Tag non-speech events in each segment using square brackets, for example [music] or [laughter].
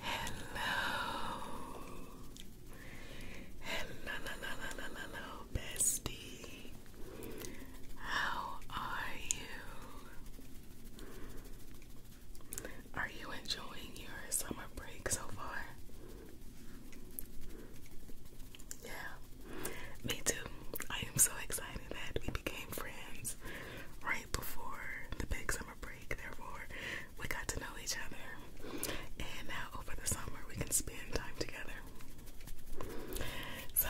Hello. Hello, bestie. How are you? Are you enjoying your summer break so far? Yeah, me too. I am so excited that we became friends. Right before the big summer break. Therefore, we got to know each other. And now over the summer, we can spend time together. So,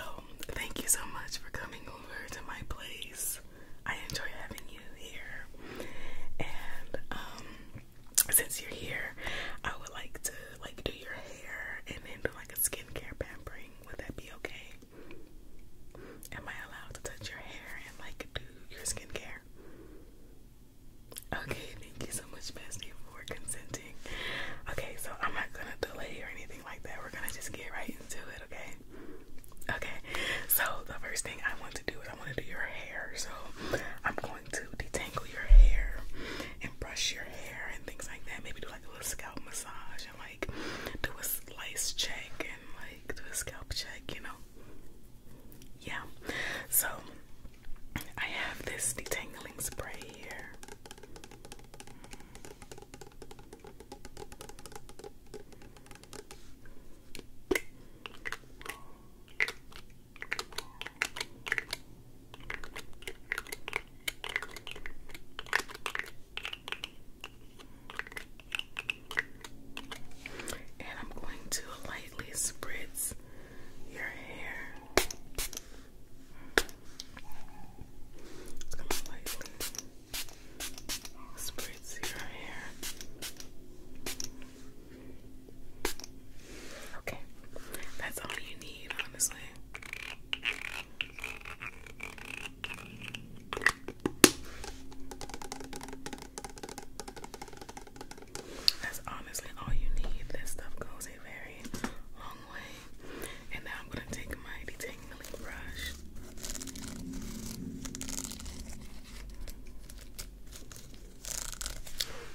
thank you so much for coming over to my place. I enjoy having you here. And um, since you're here, I would like to like do your hair and then do like a skincare pampering. Would that be okay? Am I allowed to touch your hair and like do your skincare? Okay, thank you so much, Bestie, for consenting. Okay, so I'm not gonna delay or anything like that. We're gonna just get right into it, okay? Okay, so the first thing I want to do is I want to do your hair. So I'm going to detangle your hair and brush your hair and things like that. Maybe do like a little scalp massage and like do a slice check and like do a scalp check, you know. Yeah. So I have this detangling spray here. And I'm going to lightly spritz your hair. I'm lightly spritz your hair. Okay, that's all you need, honestly. That's honestly all you need. This stuff goes a very long way. And now I'm going to take my detangling brush.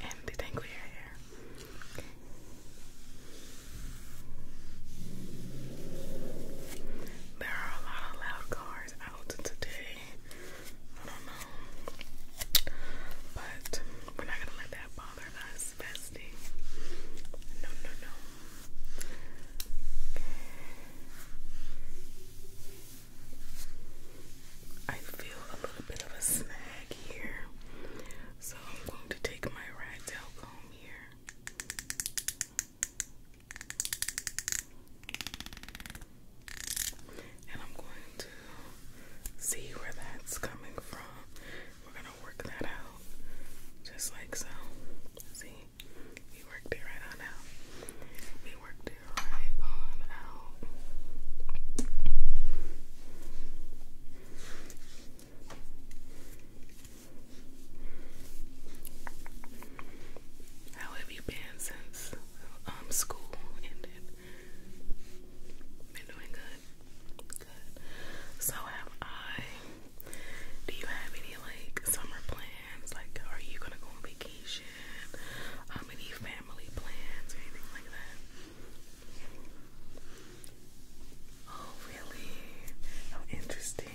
And detangle your hair. There are a lot of loud cars out today. I don't know. But we're not gonna let that bother us, bestie. No, no, no. I feel a little bit of a snag here. So I'm going to take my rat tail comb here. And I'm going to see where that's coming from. We're gonna work that out just like so. See, we worked it right on out. We worked it right on out. How have you been since um, school ended? Been doing good. Good. So have I. Do you have any like summer plans? Like are you gonna go on vacation? Um, any family plans or anything like that? Oh really? How interesting.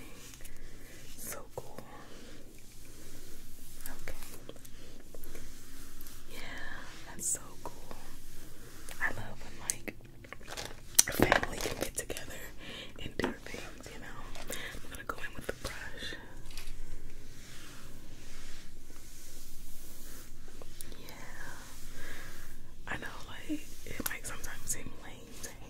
So cool. Okay. Yeah, that's so cool. I love like family can get together and do things, you know. I'm gonna go in with the brush. Yeah. I know like it might sometimes seem lame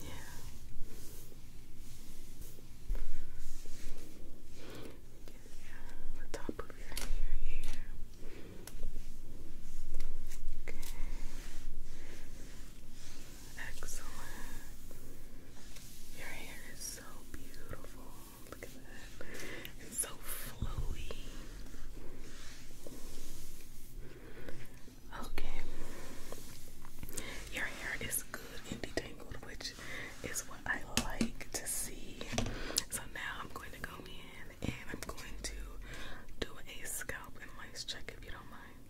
Yeah. the top of your hair Okay. Excellent. Your hair is so beautiful. Look at that. It's so flowy. Okay. Your hair is good and detangled, which is what I like to see. So now I'm going to go in and I'm going to do a scalp and lice check if you don't mind.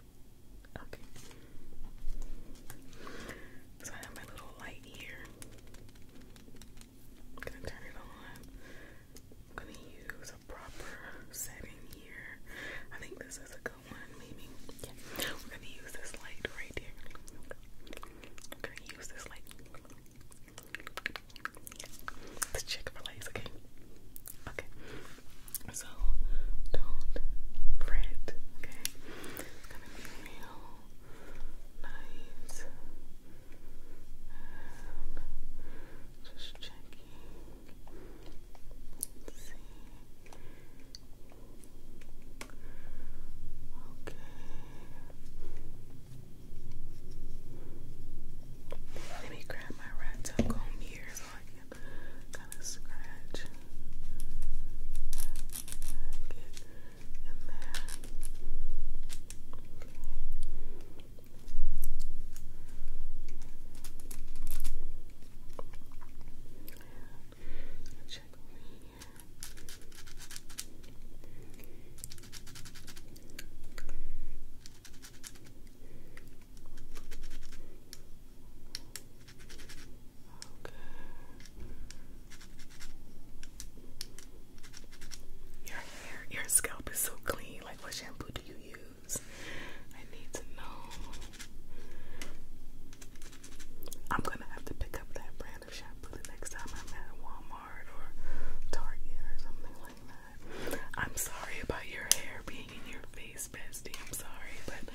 Okay. So I have my little light here. I'm gonna turn it on. I'm gonna use a proper setting here. I think this is a good one maybe. Yeah. We're gonna use this light right here. We're gonna use this light. Let's check for lights, okay? Okay. So don't fret, okay? It's gonna be real nice. And just checking. Let's me grab my rat tail comb so I can kind of scratch. Get in there. I'll check over here. Okay. Your hair, your scalp is so clean. Like, what shampoo do you use? I need to know. I'm gonna have to pick up that brand of shampoo the next time I'm at Walmart or Target or something like that. I'm sorry about your hair being in your face, bestie. I'm sorry, but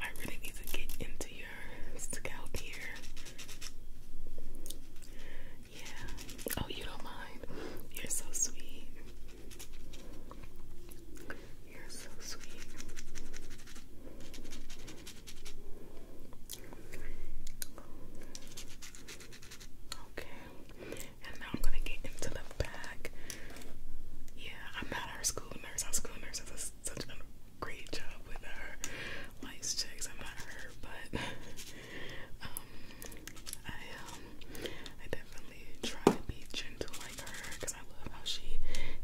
I really need to get into your scalp here. Yeah. Oh, you don't mind. You're so sweet. You're so sweet. Okay, and now I'm gonna get into the back. Yeah, I'm not our school nurse. Our school nurse does such a great job with her lice checks. I'm not her, but [laughs] um, I um, I definitely try to be gentle for her because I love how she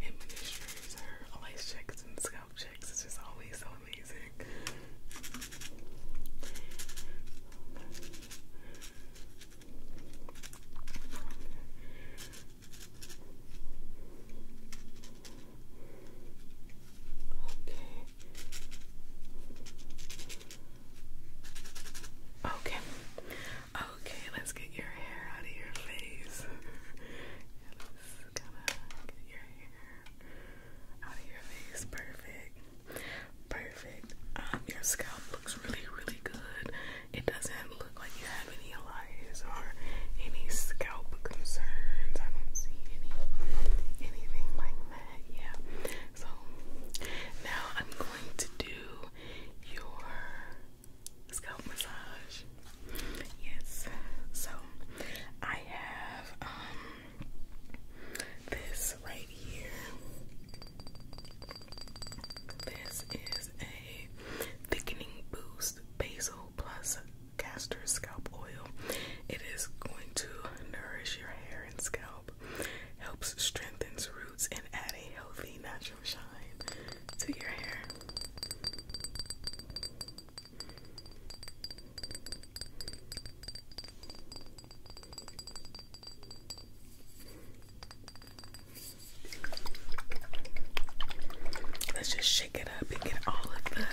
administers her lice checks and scalp checks. It's just always so amazing. Okay. Okay. Okay, let's get your hair out of your face. get your hair out of your face. Perfect. Perfect. Um, your scalp looks really, really good. It doesn't look like you have any lice or any scalp concerns. I don't see any anything like that. Yeah. So now I'm going to do your scalp massage. Yes. So I have um, this right here. This is a thickening boost basil plus castor scalp oil. It is going to nourish your hair and scalp, helps strengthens roots and add a healthy natural to your hair. Let's just shake it up and get all of the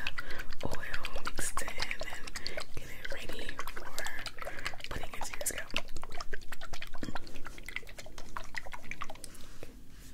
oil mixed in and get it ready for putting into your scalp.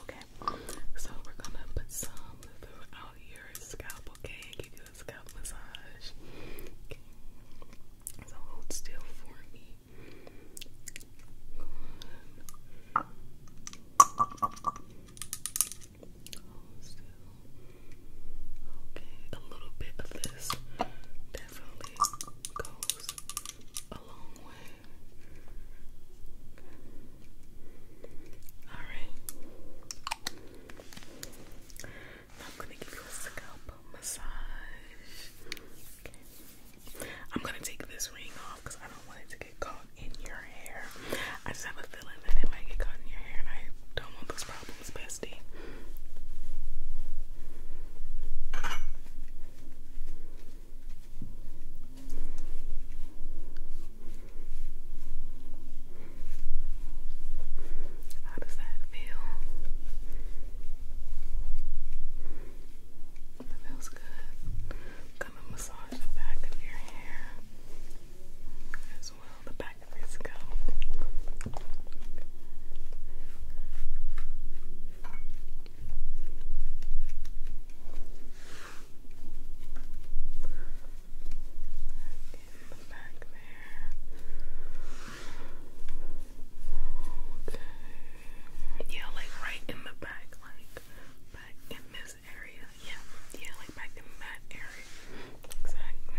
Okay, so we're gonna put some throughout your scalp, okay? give you a scalp massage. So hold still for me. Okay, a little bit of this definitely goes Alright. I'm gonna give you a scalp massage. Okay. I'm gonna take this ring off because I don't want it to get caught in your hair. I just have a feeling that it might get caught in your hair and I don't want those problems, bestie. How does that feel? feels good. i massage the back of your hair as well, the back of your scalp the back Yeah, like right in the back, like back in this area. Yeah, yeah, like back in that area. Exactly.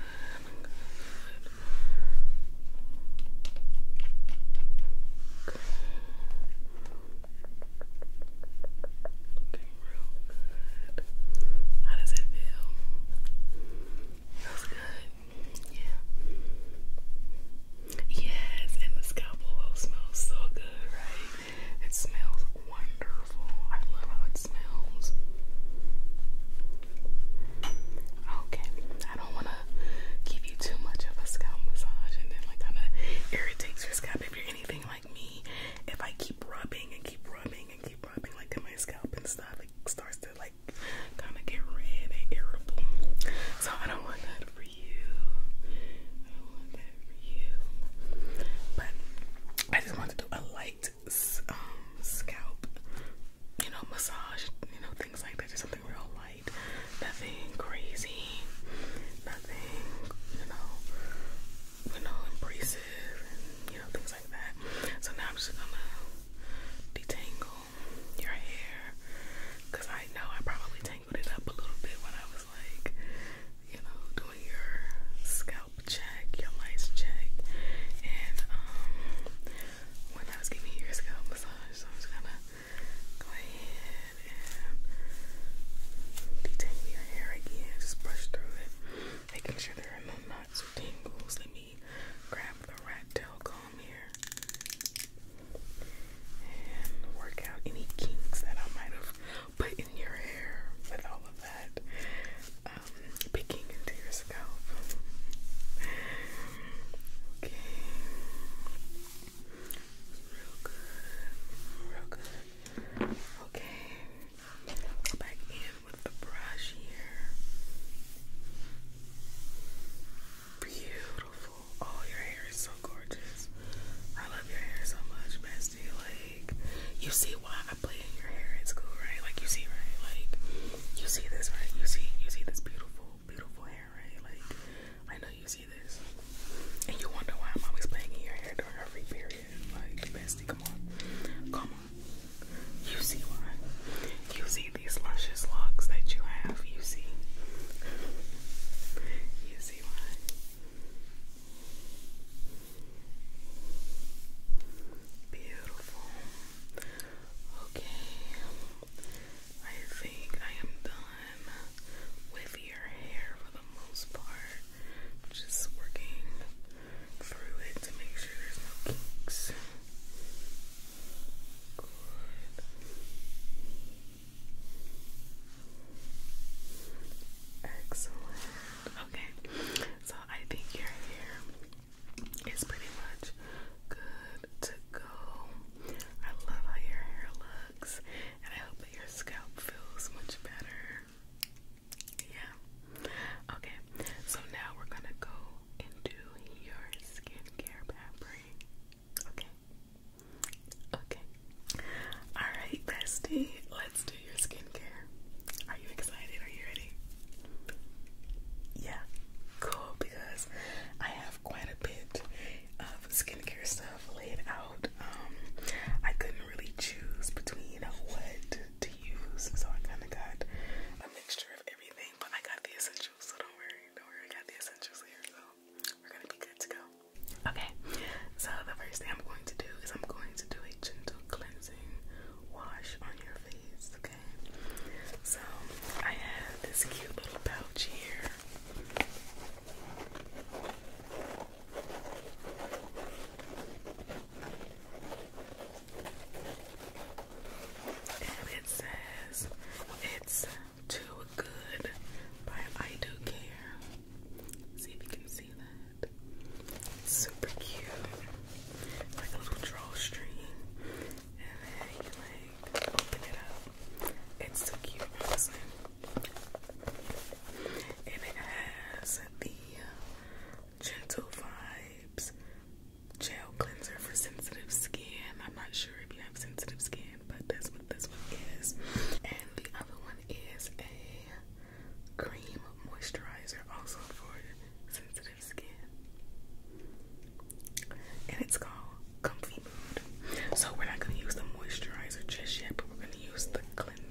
Okay. Looking real good. How does it feel? Feels good. Yeah. Yes, and the scalp oil smells so good, right? It smells wonderful. I Okay, I don't want to give you too much of a scalp massage and then like kind of irritates your scalp. If you're anything like me, if I keep rubbing and keep rubbing and keep rubbing like in my scalp and stuff, it starts to like kind of get red and irritable. So I don't want that for you. I want that for you. But I just want to do a light um, scalp, you know, massage, you know, things like that. Just something real light, nothing crazy, nothing, you know, you know, abrasive, you know, things like that. So now I'm just gonna detangle your hair because I know I probably tangled it up a little bit when I was like, you know, doing your scalp check, your lice check, and um, when I was giving you your scalp massage, I'm gonna go ahead and detangle your hair again. Just brush through it, making sure there are no knots or tangles. Let me grab the rat tail comb here and work out any kinks that I might have your hair with all of that um, picking into your scalp. Okay. Real good. Real good. Okay. back in with the brush here. Beautiful. Oh, your hair is so gorgeous. I love your hair so much, bestie. Like, like you see why I played in your hair at school, right? Like you see, right? Like you see this, right? You see, you see this beautiful, beautiful hair, right? Like I know you see this, and you wonder why I'm always playing in your hair during her free period. Like bestie, come on, come on. You see why? You see these luscious locks that you have. You see. You see why? Beautiful. Okay. I think I am done with your hair for the most part. Just working through it to make sure there's no kinks. Good. Excellent. Okay. So I think your hair is pretty much good to go. I love how your hair looks, and I hope that your scalp feels much better. Yeah. Okay, so now we're gonna go into your skincare pampering. Okay. Okay. Alright, bestie. let let's do your skincare. Are you excited? Are you ready? Yeah, cool. Because I have quite a bit of skincare stuff laid out. Um, I couldn't really choose between what to use, so I kind of got a mixture of everything. But I got the essentials, so don't worry. Don't worry, I got the essentials here, so we're gonna be good to go. Okay, so the first thing I'm going to do is I'm going to do a gentle cleansing wash on your face, okay? So I have this cute little pouch here. it says it's too good by I Do Care. see if you can see. It's super cute. Like a little drawstring. And then you like open it up. It's so cute, And it has the uh, Gentle Vibes gel cleanser for sensitive skin. I'm not sure if you have sensitive skin, but that's what this one is. And the other one is a cream moisturizer, also for sensitive skin. And it's called Comfy Mood. So we're not going to use the moisturizer just yet, but we're going to use the cleanser.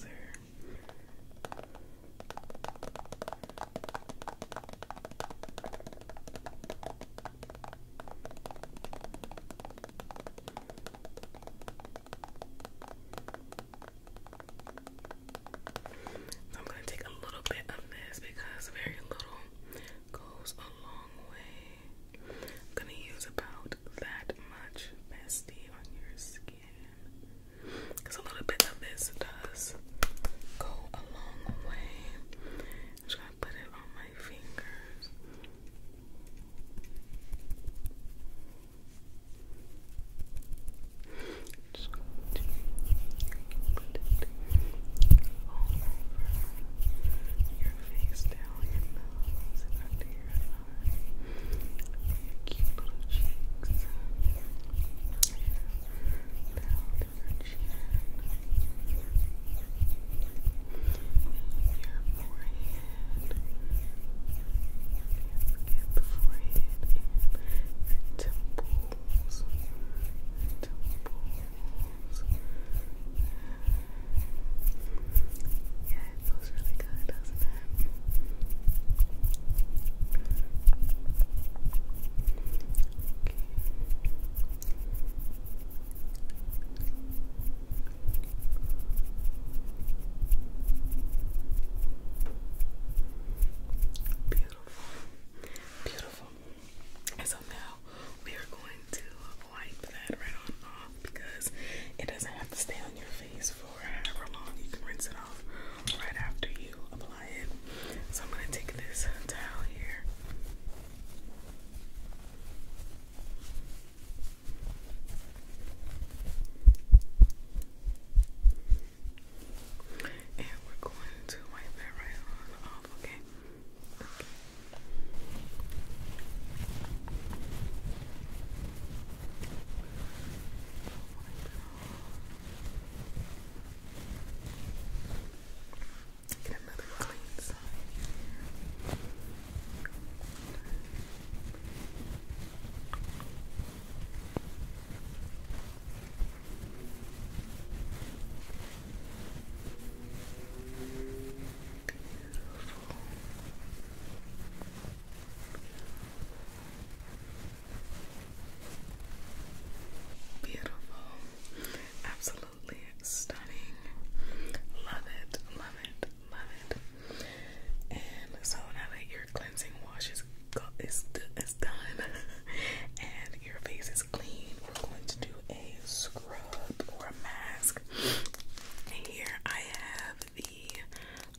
I'm going to take a little bit of this because very little goes a long way. I'm going to use about that much bestie on your skin because a little bit of this does go a long way. just going to put it on my fingers. Just going to put it all over your face, down your nose, and under your eye, your cute little cheeks, down your chin, your forehead. Get the forehead and the temple temples, temples. Yeah, it feels really good, Beautiful. Beautiful. And so now we are going to wipe that right on off because it doesn't have to stay on your face for however long. You can rinse it off right after you apply it. So I'm going to take this towel here. And we're going to wipe that right on off, okay? Get another clean side Beautiful. Absolutely stunning. Love it. Love it. Love it. And so now that your cleansing wash is, go done [laughs] and your face is clean, we're going to do a scrub or a mask. here I have the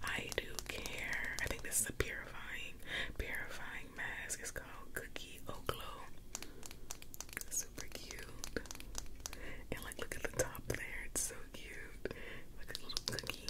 I Do Care. I think this is a purifying, purifying mask. It's called Cookie Glow. Super cute. And like look at the top there, it's so cute. Like a little cookie.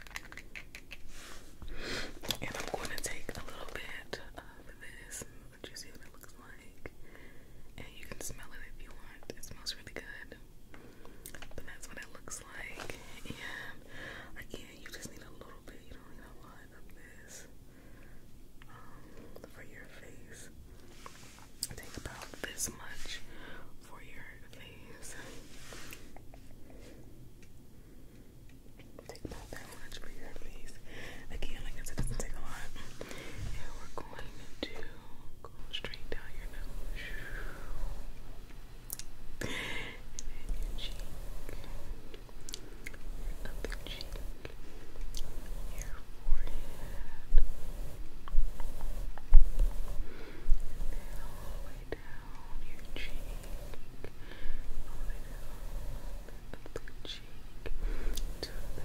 And I'm going to take a little bit of this. Let you see what it looks like. And you can smell it if you want. It smells really good. But that's what it looks like. And again, you just need a little bit. You don't need a lot of this um, for your face. Take about this much for your face. Take about that much for your face. Again, like I said, it doesn't take a lot. And we're going to go straight down your nose. And then your cheek. Your upper cheek. Your forehead. And then all the way down your cheek, all the cheek, to the chin, to the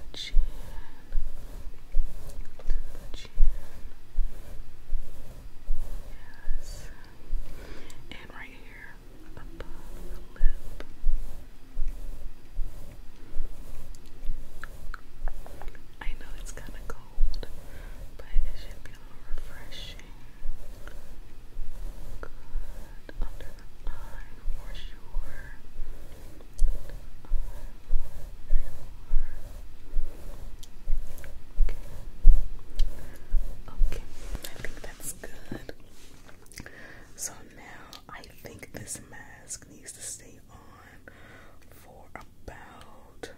chin. Yes. And right here above the lip. I know it's kind of cold, but it should be refreshing. Good. Under the eye for sure. Okay. okay, I think that's good. So now I think this mask needs to stay on for about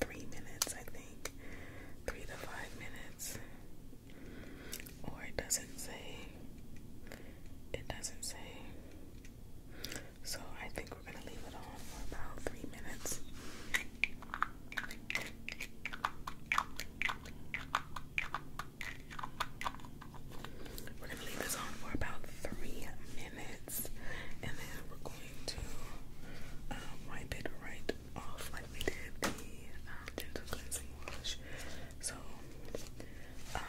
three minutes, I think, three to five minutes, or it doesn't say, it doesn't say. So I think we're gonna leave it on for about three minutes. We're gonna leave this on for about three minutes and then we're going to uh, wipe it right off like we did the um, gentle cleansing wash. So, um,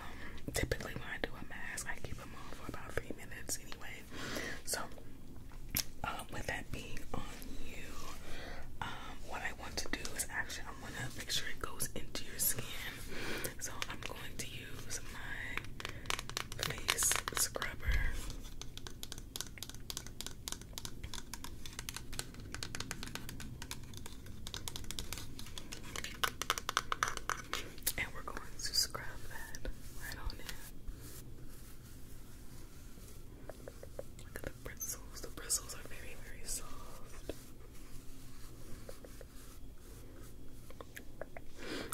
typically when I do a mask, I keep them off for about three minutes anyway. So, uh, with that being on you, um, what I want to do is actually I want to make sure it goes into your skin. So I'm going to use my face scrubber. And we're going to scrub that right on in. Look at the bristles. The bristles are very, very soft.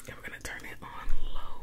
And we're going to turn it on low.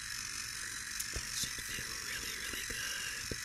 That should feel really, really good. Good.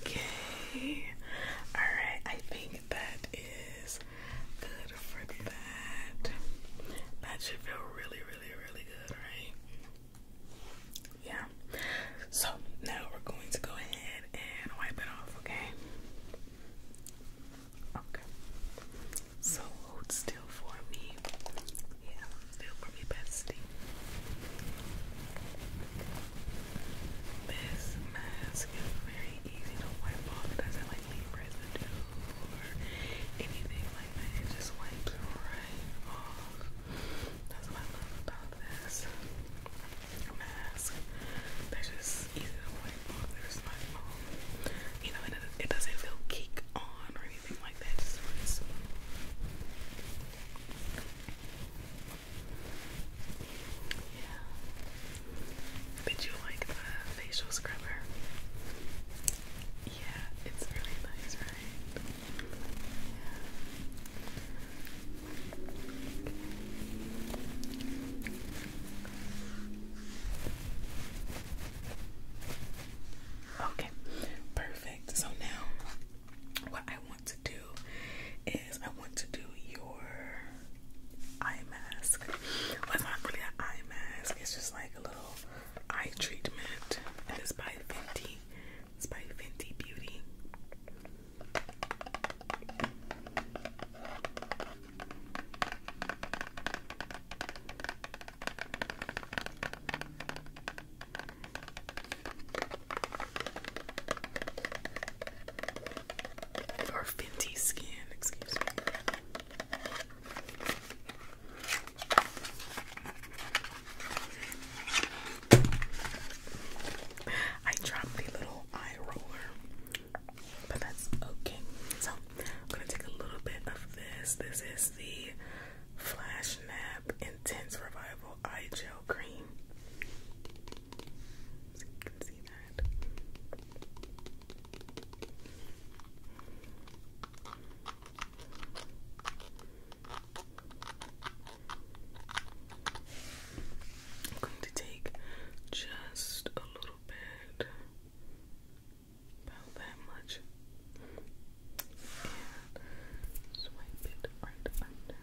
Okay. All right. I think that is good for that. That should feel really, really, really good, right? Yeah. So now we're going to go ahead and wipe it off, okay? Okay. So still for me. Yeah, still for me, bestie. This mask is very easy to wipe off. doesn't leave residue or anything like that. It just wipes right off. That's what I love about this mask. They're just easy to wipe off. They're just um, You know, it, doesn't feel cake on or anything like that. Yeah. Did you like the facial scrubber? Yeah, it's really nice, right? Okay, perfect. So now what I want to do is I want to do your eye mask. it's not really an eye mask, it's just like a little eye treatment. And it's by Fenty. It's by Fenty Beauty. Or Fenty Skin, excuse me. I dropped the little eye roller, but that's okay. So I'm gonna take a little bit of this. This is the Flash Nap Intense Revival Eye Gel Cream. So you can see that. I'm going to take just a little bit, about that much, and swipe it right under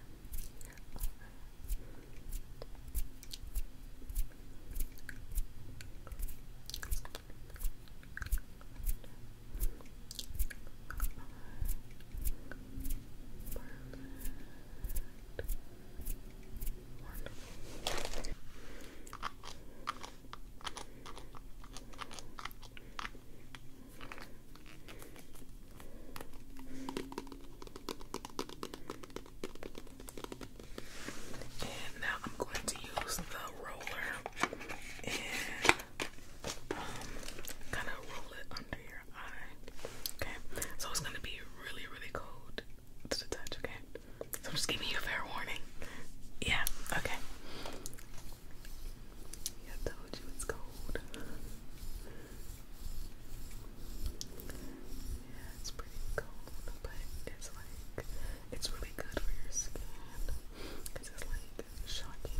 and now I'm going to use the roller and um, kind of roll it under your eye. Okay, so it's gonna be really, really cold to the touch. Okay, so I'm just giving you a fair warning. Yeah. Okay. I told you it's cold. Yeah, it's pretty cold, but it's like it's really good for your skin because it's like shocking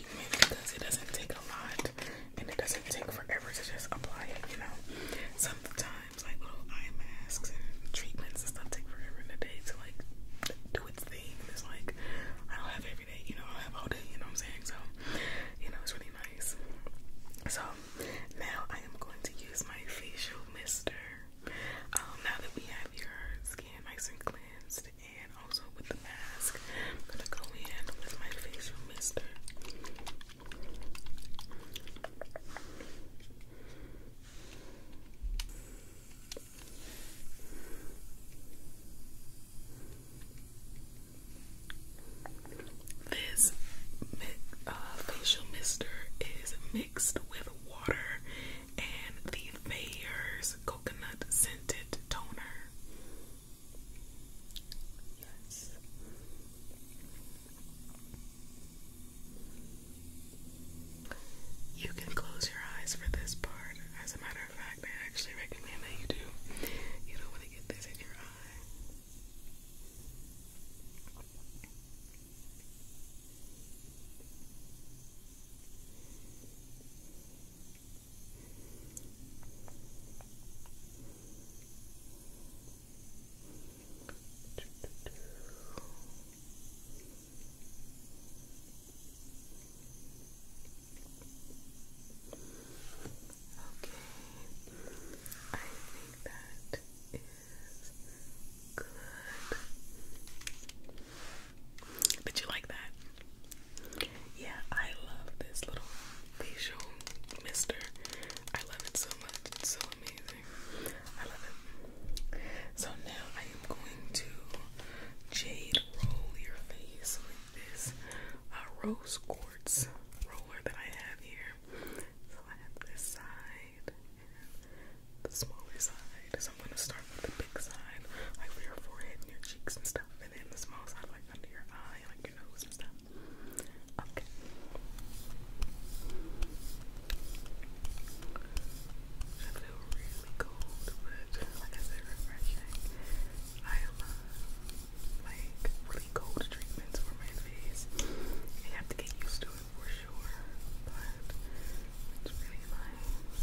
because it doesn't take a lot and it doesn't take forever to just apply it, you know. Sometimes like little eye masks and treatments and stuff take forever in a day to like do its thing. And it's like I don't have every day, you know, I have all day, you know what I'm saying? So, you know, it's really nice. So now I am going to use my facial mister. Um, now that we have your skin nice cleansed and also with the mask. I'm gonna go in with my facial mister. This uh, facial mister is mixed with water and the Thayer's coconut scented toner. Yes. You can close your eyes for this part. As a matter of fact, I actually recommend that you do. You don't want to get this in your eye. I think that is good. Did you like that? Yeah, I love this little facial mister. I love it so much. It's so amazing. I love it. So now I am going to jade roll your face with this uh, rose quartz roller that I have here. So I have this side and the smaller side. So I'm going to start with the big side, like for your forehead and your cheeks and stuff. I feel really cold, but like I said, refreshing. I love like really cold treatments for my face. You have to get used to it for sure, but it's really nice.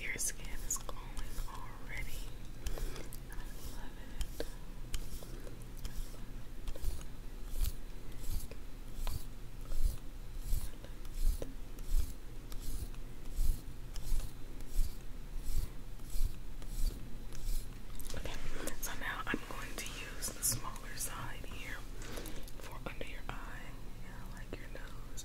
your skin is glowing already. I love it. Okay, so now I'm going to use the smaller side here for under your eye, like your nose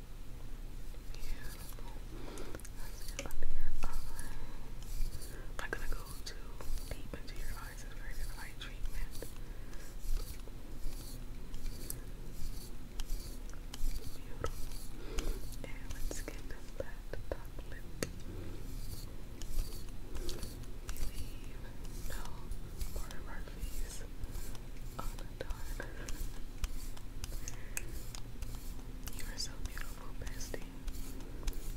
Let's uh, I'm gonna go too deep into your eyes. It's very good eye treatment. Beautiful. And let's get that top lip. We leave no part of our these oh, you are so beautiful, bestie.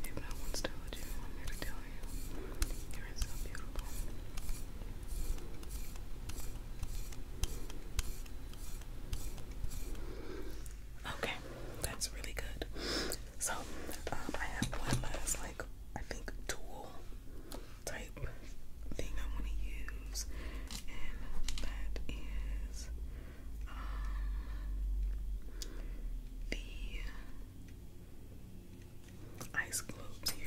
If no one's told you, I'm here to tell you. You are so beautiful. Okay, that's really good. So, um, I have one last, like, I think, tool type thing I want to use, and that is um, the ice globes here.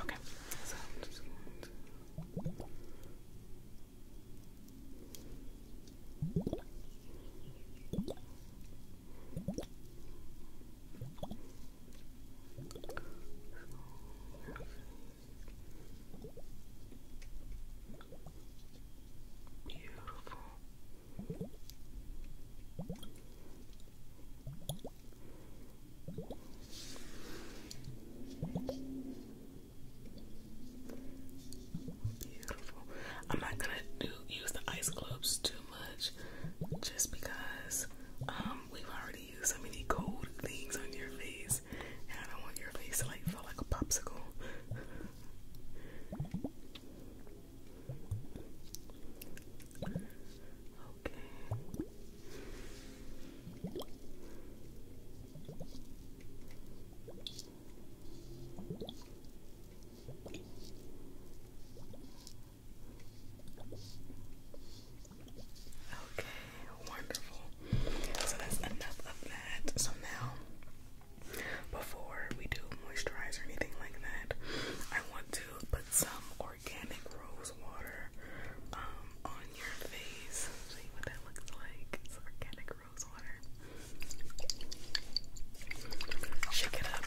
Okay, so Beautiful. Beautiful. I'm not gonna do use the ice globes too much just because um, we've already used so many cold things on your face and I don't want your face to like feel like a popsicle. Okay, wonderful. So that's enough of that. So now, before we do moisturizer or anything like that. I want to put some organic rose water um, on your face. See what that looks like. organic rose water. Shake it up.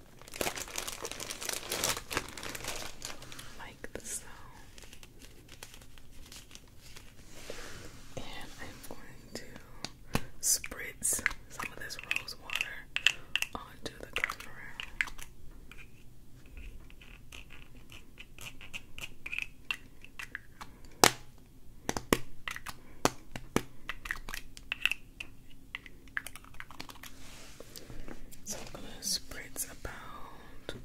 like the And I'm going to spritz some of this rose water onto the cutlery. So I'm gonna spritz about.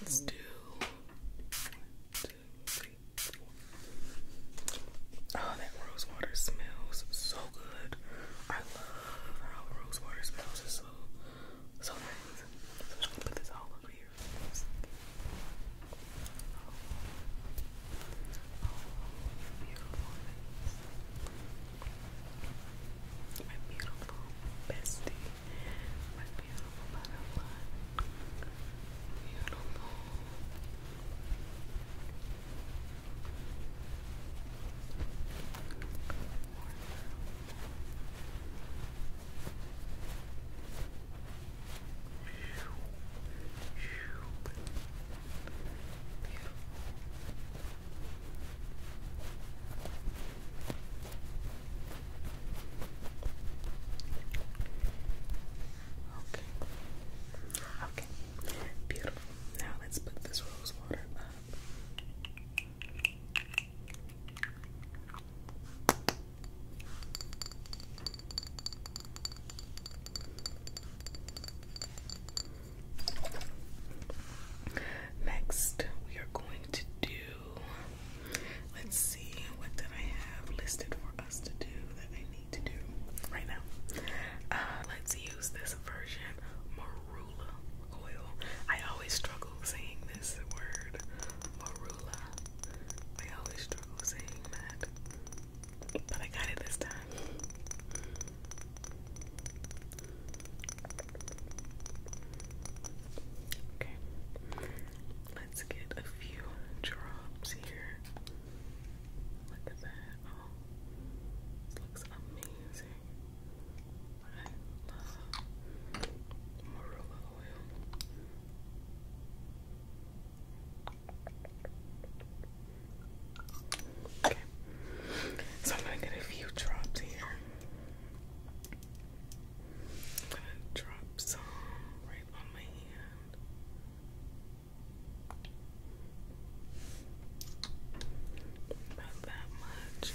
Let's do one, two, three, four. Oh, that rose water smells so good. I love how rose water smells. It's so so nice. So I'm gonna put this all over here. Oh, my beautiful bestie, my beautiful butterfly, Beautiful, beautiful, Okay. Okay. Beautiful. Now let's put this rose water Next, we are going to do, let's see, what did I have listed for us to do that I need to do right now? Uh, let's use this version, marula oil. I always struggle saying this word, marula. I always struggle saying that, but I got it this time. Okay, let's get a few drops here. Look at that. Oh, this looks amazing. I love marilla oil. Okay, so I'm gonna get a few drops here. I'm gonna drop some right on my hand. About that much.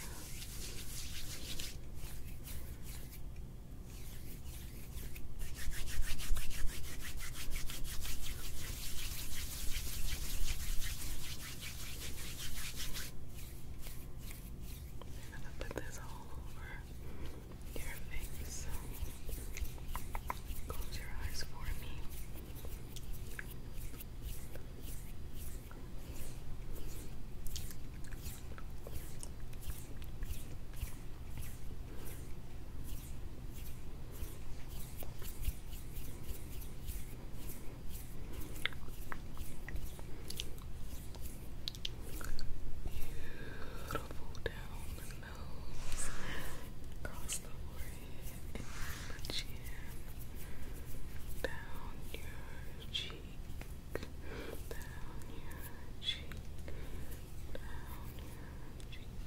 I'm gonna put this all over your face. Close your eyes for me. Beautiful down the nose, across the forehead, and the chin, down your cheek, down your cheek. Down your cheek.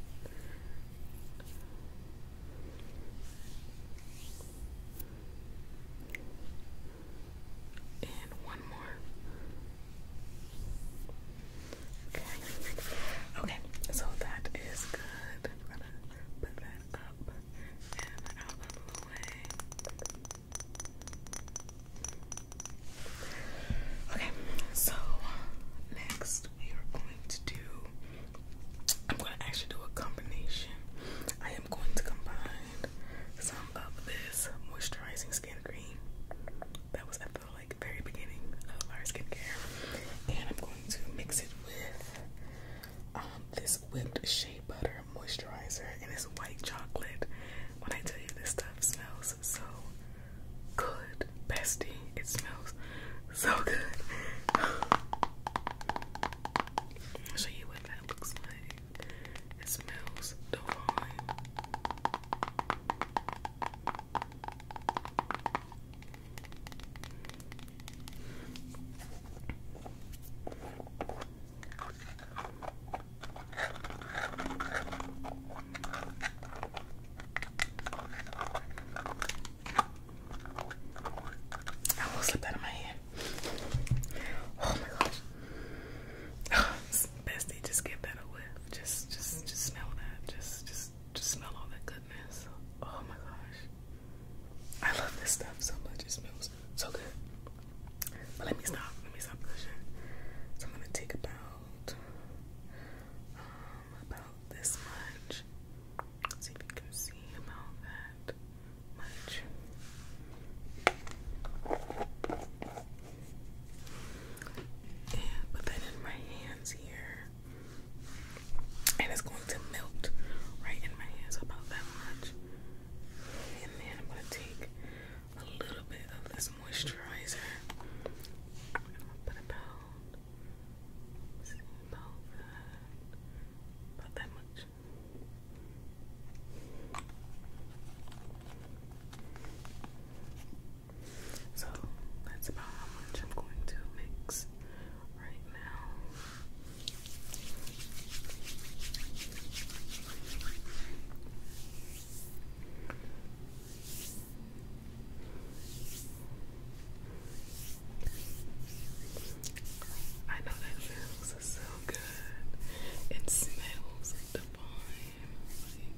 And one more. Okay. Okay, so that is good. I'm gonna put that up and out of the way. Okay, so next we are going to do I'm going to actually do a combination. I am going to combine some of this moisturizing skin cream that was at the like very beginning of our skincare, and I'm going to mix it with um, this whipped shea butter moisturizer, and it's white chocolate. When I tell you this stuff smells so good, bestie, it smells so good. I'll show you what that looks like. It smells divine. I almost slipped out of my hand. Oh my gosh. Bestie, just give that a whiff. Just, just, just smell that. Just, just, just smell all that goodness. Oh my gosh. I love this stuff so much. It smells so good. But let me stop. Let me stop pushing. So I'm gonna take about, um, about this much. see if you can see about that much. And put that in my hands here. And it's going to melt right in my hands about that much. And then I'm going to take a little bit of this moisturizer. put about, about that much. So that's about how much I'm going to mix right now. I know that smells so good. It smells divine.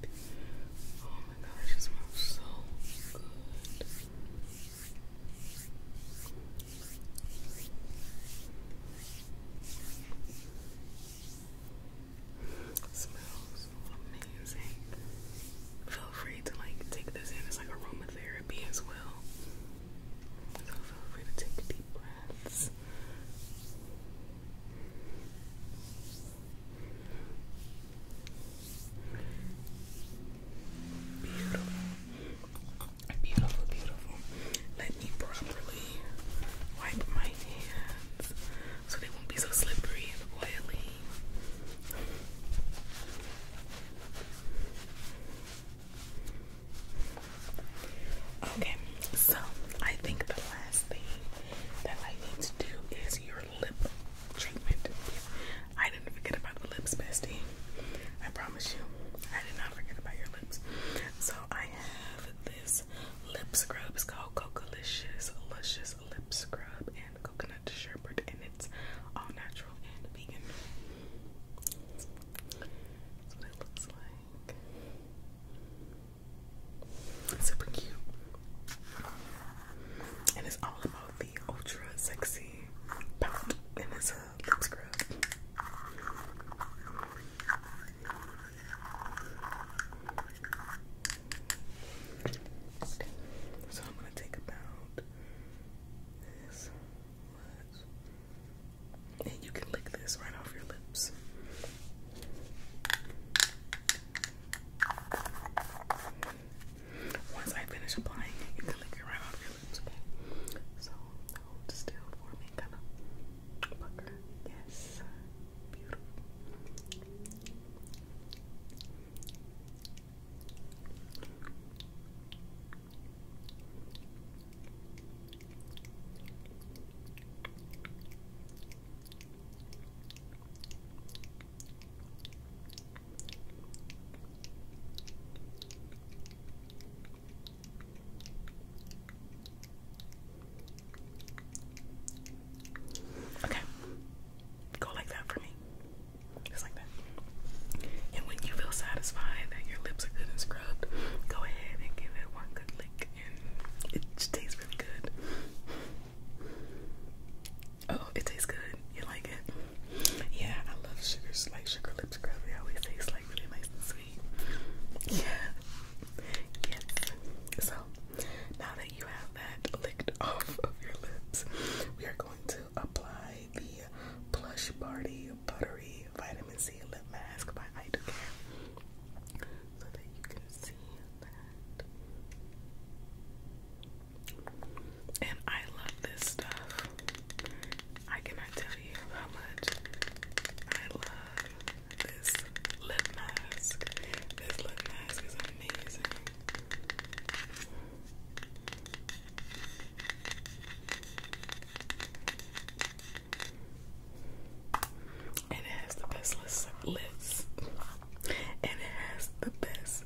Like, oh my gosh, it smells so good. It smells amazing. Feel free to like take this in. It's like aromatherapy as well. So feel free to take deep breaths. Beautiful. Beautiful, beautiful. Let me properly wipe my hands so they won't be so slippery and oily. Okay, so I think the last thing that I need to do is your lip treatment. I didn't forget about the lips, bestie. I promise you, I did not forget about your lips. So I have this lip scrub. It's called Cocolicious Luscious Lip Scrub and Coconut Sherbet, and it's all natural and vegan. That's super cute. And it's all about the ultra sexy pout. And it's lip scrub. So I'm going to take about this and you can lick this right off your lips. Once I finish applying it, you can lick it right off your lips, okay? So still for me, kind of Yes. Beautiful. Okay. Go like that for me. Just like that. And when you feel satisfied that your lips are good and scrubbed, go ahead and give it one good lick, and it just tastes really good. Oh, it tastes good. You like it? Yeah, I love sugars like sugar lips scrub. They always taste like really nice and sweet. Yeah. yeah. So now that you have that licked off of your lips, we are going to apply the Plush Party Buttery Vitamin C Lip Mask by Idocare so that you can see that. And I love this stuff. I cannot tell you how much I love this lip mask. This lip mask is amazing. And it has the best lids, And it has the best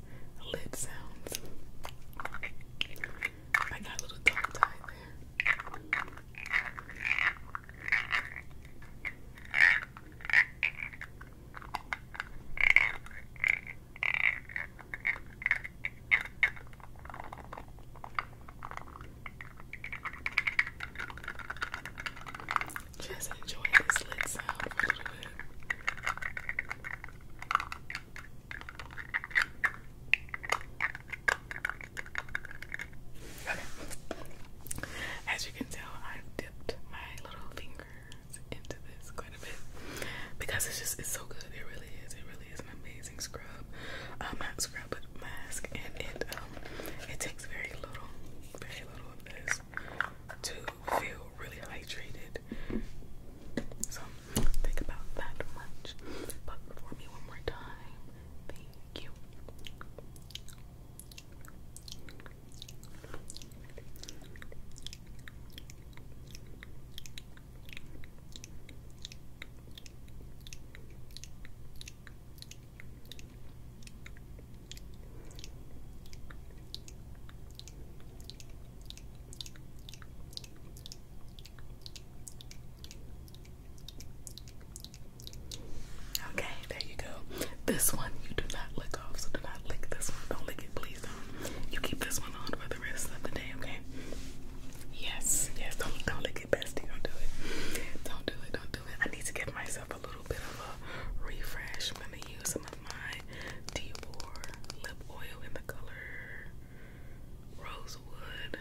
lid sounds. I got little tongue tied there. Just enjoy this lid sound Okay. As you can tell, I've dipped my little fingers into this quite a bit because it's just it's so good. It really is. It really really an amazing scrub. Um, not scrub, but mask, and um, it takes very little, very little of this to feel really hydrated. So think about that much. But for me one more time. Thank you. Okay, there you go. This one you do not lick off, so do not lick this one. Don't lick it, please don't. You keep this one on for the rest of the day, okay? Yes, yes. Don't don't lick it, bestie. Don't do it. Don't do it. Don't do it. I need to give myself a little bit of a refresh. I'm gonna use some of my Dior lip oil in the color Rosewood.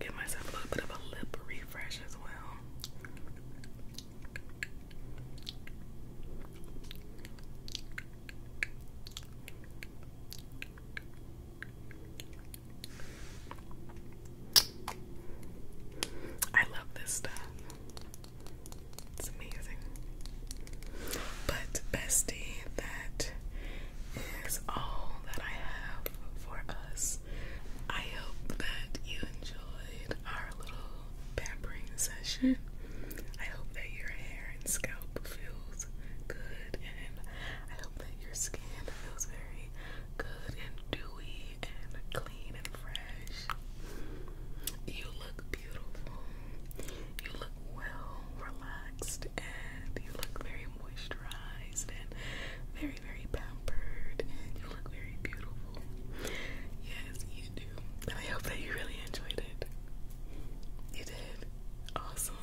Give myself a little bit of a lip refresh as well. I love this stuff. It's amazing. But, bestie, that is all that I have for us. I hope that you enjoy our little pampering session. I hope that your hair and scalp feels good, and I hope that your skin feels very good and dewy and clean and fresh. You look beautiful. You look well relaxed, and you look very moisturized and very, very pampered, you look very beautiful. Yes, you do. I hope that you really enjoyed it. You did. Awesome.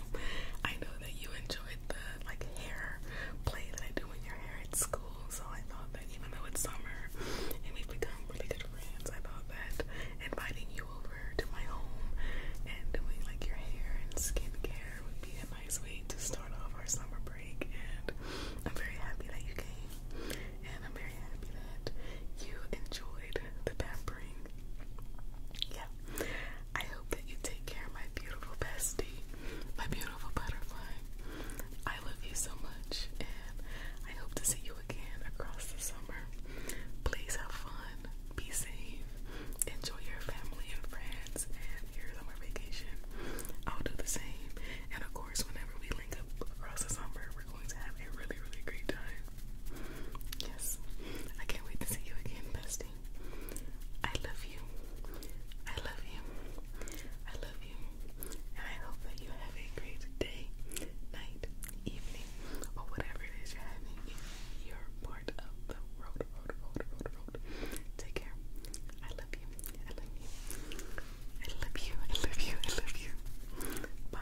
I know that you enjoyed the like hair play that I do in your hair at school, so I thought that even though it's summer and we've become really good friends, I thought that inviting you over to my home and doing like your hair and skincare would be a nice way to start off our summer break and I'm very happy that you came and I'm very happy that you enjoyed the pampering. Yeah, I hope that you take care, my beautiful bestie, my beautiful butterfly. I love you so much, and I hope to see you again across the summer. Please have fun, be safe, enjoy your family and friends, and your vacation. I'll do the same, and of course, whenever we link up across the summer, going to have a really, really great time. Yes, I can't wait to see you again, bestie. I love you. I love you. I love you. And I hope that you have a great day, night, evening, or whatever it is you're having in your part of the world. Road, road, road, road, Take care. I love you. I love you. I love you, I love you, I love you. Bye.